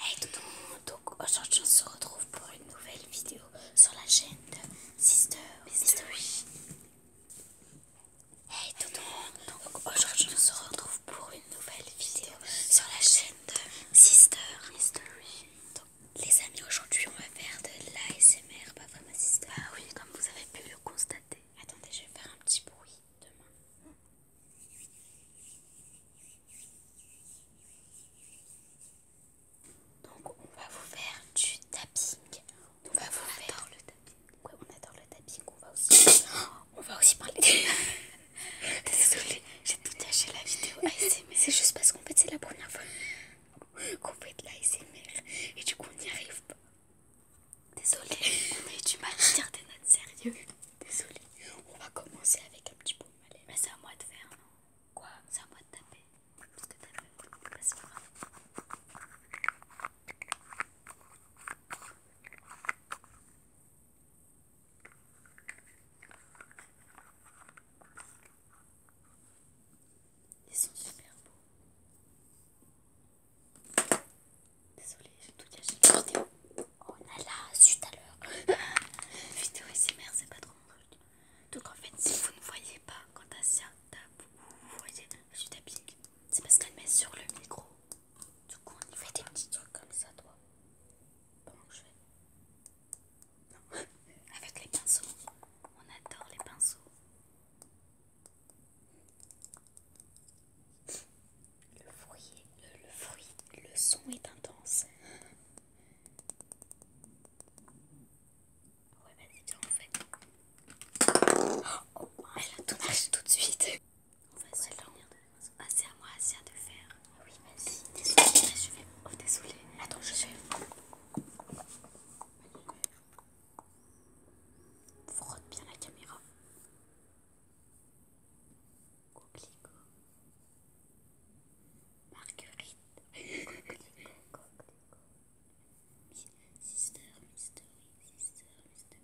Hey tout le monde, donc aujourd'hui on se retrouve pour une nouvelle vidéo sur la chaîne de Sister Mystery. Hey tout le monde, donc aujourd'hui on se retrouve pour une nouvelle vidéo sur la chaîne de Sister Mystery. les amis, aujourd'hui on va faire de l'ASMR, pas vraiment sister Ah oui, comme vous avez pu le constater. Attendez, je vais faire un petit bruit demain. Donc on va vous faire du tapping. on va vous faire le tapping. Ouais, on adore le tapping. On va aussi, on va aussi parler. Désolée, j'ai tout caché la vidéo ASMR. C'est juste parce qu'en fait c'est la première fois qu'on fait de l'ASMR et du coup on n'y arrive pas. Désolée, mais tu m'as tiré des notes sérieuses. Désolée. On va commencer avec un petit bout de Mais c'est à moi de faire, non Quoi C'est à moi de taper. Parce que t'as taper, bah, c'est pas. Ils sont super beaux. Désolée, j'ai tout gâché la vidéo. Oh là là, suite à l'heure. vidéo SMR, c'est pas trop mon truc. Donc en fait, si vous ne voyez pas quand Asia tape vous voyez je tapping, c'est parce qu'elle met sur le micro. Du coup, on y fait des petits trucs comme ça, toi. Pendant je Non. Avec les pinceaux, on adore les pinceaux. Le fruit, euh, le, le son est intense. Ouais, vas-y, bien en fait. Oh, oh, elle a tout marché tout de suite. On va se dormir de la maison. Ah, c'est à moi, c'est à te faire. Ah oui, vas-y. Désolée, je vais. Oh, désolée. Attends, je suis... Frotte bien la caméra. Coquelicot. Marguerite. Coquelicot, coquelicot. Sister, mystery, sister, mystery.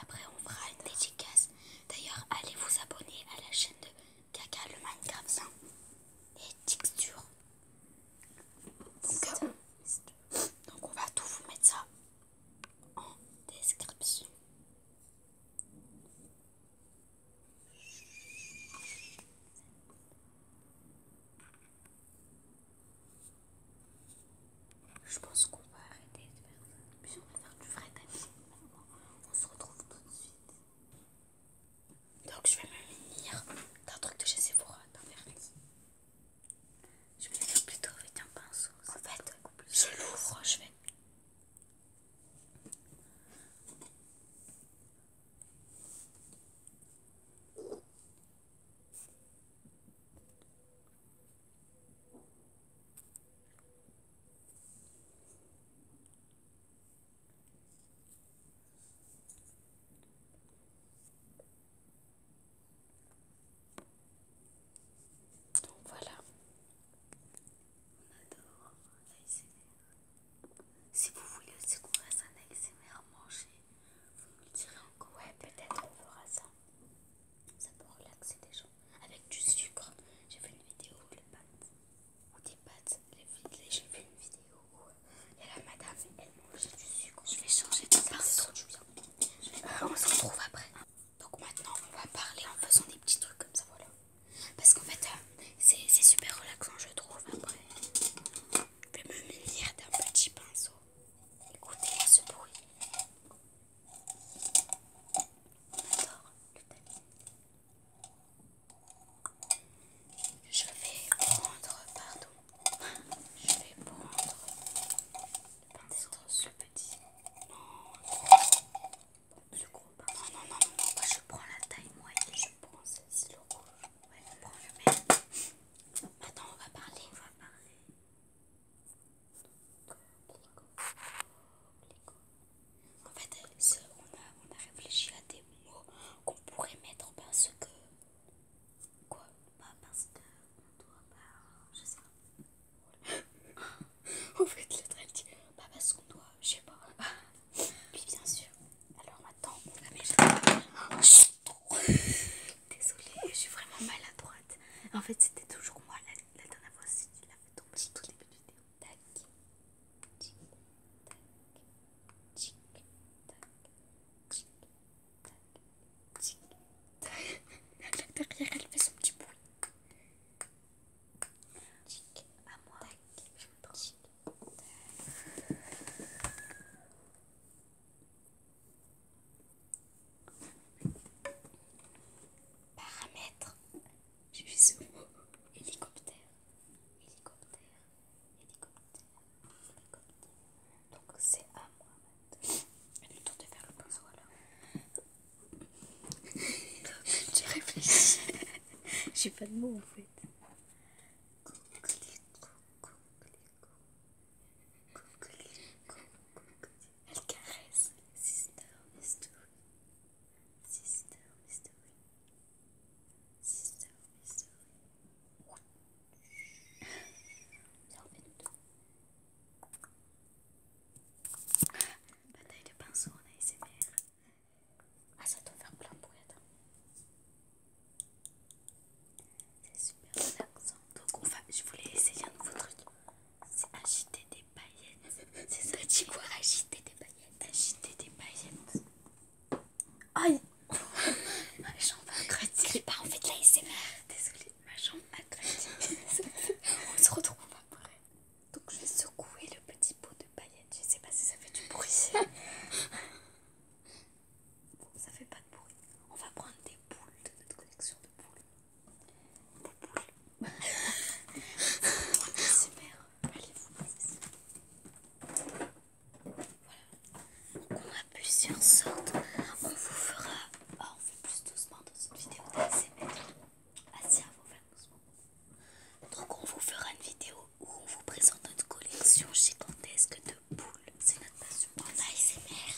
Après, on fera une dédicace. D'ailleurs, allez vous abonner à la chaîne de Kaka le Minecraft. Hein. et Texture. Donc, on va tout vous mettre ça en description. Je pense qu'on va arrêter de faire ça. on va faire du vrai tapis. On se retrouve tout de suite. Donc je vais me venir d'un truc de chez Sephora, d'un vernis. Je vais plutôt avec un pinceau. Ça En fait, Je l'ouvre, Je vais. Donc voilà, on adore l'ASMR. Si vous voulez aussi qu'on fasse un à manger, vous me le direz encore. Ouais, peut-être on fera ça. Ça peut relaxer des gens. Avec du sucre, j'ai fait une vidéo où le pâte ou les pâtes. J'ai fait une vidéo où euh, il y a la madame, elle mange du sucre. Je vais changer de pinceau. on se retrouve après. Donc maintenant, on va parler en faisant des petits trucs comme ça, voilà. Parce qu'en fait, euh, c'est super relaxant, je trouve. Après, je vais me munir d'un petit pinceau. écoutez ce bruit. On adore le je vais prendre, pardon, je vais prendre peut ce petit. Non, ce gros, pardon. Non, non, non, non, moi je prends la taille moyenne, je prends celle-ci, le rouge. Ouais, je prends le même. Attends, on va parler, on va parler. Clico, clico, en fait, on a, réfléchi à des mots qu'on pourrait mettre parce que. Quoi Pas parce que. On doit pas. Je sais pas. en fait, le truc dit. Pas parce qu'on doit. Je sais pas. Puis bien sûr. Alors maintenant, on va Désolée, je suis vraiment maladroite. En fait, c'était toujours moi la, dernière fois si tu l'as fait tomber au tout début de vidéo tac, tic, tac, tic, tac, tic, tac, tic, tac. La derrière, elle fait son petit bruit. Tic, à moi. Tac, Tac tac. Paramètres j'ai vu ce mot. Hélicoptère. Hélicoptère. Hélicoptère. Hélicoptère. Donc c'est à moi maintenant. Le temps de faire le pinceau alors. J'ai réfléchi. J'ai pas de mots en fait. Elle caresse, les sister. Sister Mystery. Sister Mystery. Bataille de pinceau en ASMR. Ah, ça doit faire plein de bruit, attends. C'est super relaxant. Donc, on je voulais essayer un nouveau truc. C'est agiter des paillettes. C'est ça, tu dis quoi Agiter des paillettes. Agiter des paillettes. Aïe Ma jambe a crotté. sais pas, en fait de la Désolée, ma jambe a crotté. on se retrouve après. Donc je vais secouer le petit pot de paillettes. Je sais pas si ça fait du bruit. Bon, ça fait pas de bruit. On va prendre des boules de notre collection de boules on a plusieurs sortes. On vous fera... on fait plus doucement dans cette vidéo d'ASMR. Ah si, on faire doucement. Donc on vous fera une vidéo où on vous présente notre collection gigantesque de boules. C'est notre passion pour ASMR,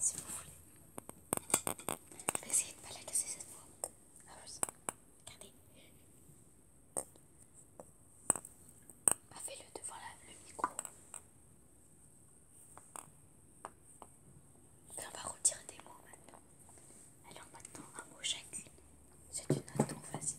si vous voulez. Je vais essayer de ne pas la casser cette fois. Ah, regardez. Bah, fais-le devant le micro. on va retirer des mots maintenant. Alors maintenant, un mot chacune. C'est une note trop facile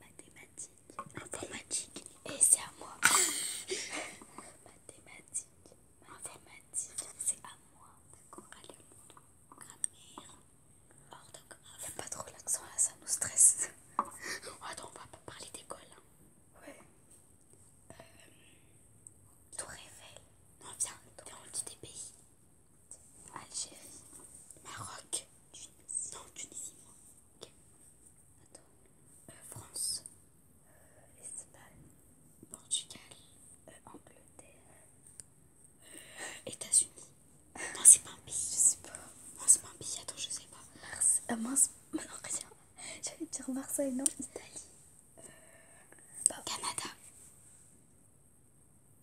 mathématiques, informatique, et c'est à moi. mathématiques, informatique, c'est à moi. D'accord, allez, grammaire, orthographe. a pas trop l'accent là, ça nous stresse. Oh, attends, on va pas parler d'école. Hein. Ouais. Euh, tout révèle. Non, viens, viens, on dit des pays. Algérie, Maroc, Tunisie. Non, Tunisie, moi. Ok. Attends. Euh, France, euh, Espagne, Portugal, euh, Angleterre, États-Unis. Non, c'est pas un pays. Je sais pas. Non, c'est pas un pays. Attends, je sais pas. Mars. Euh, mince. J'allais dire Marseille, non Italie. Canada.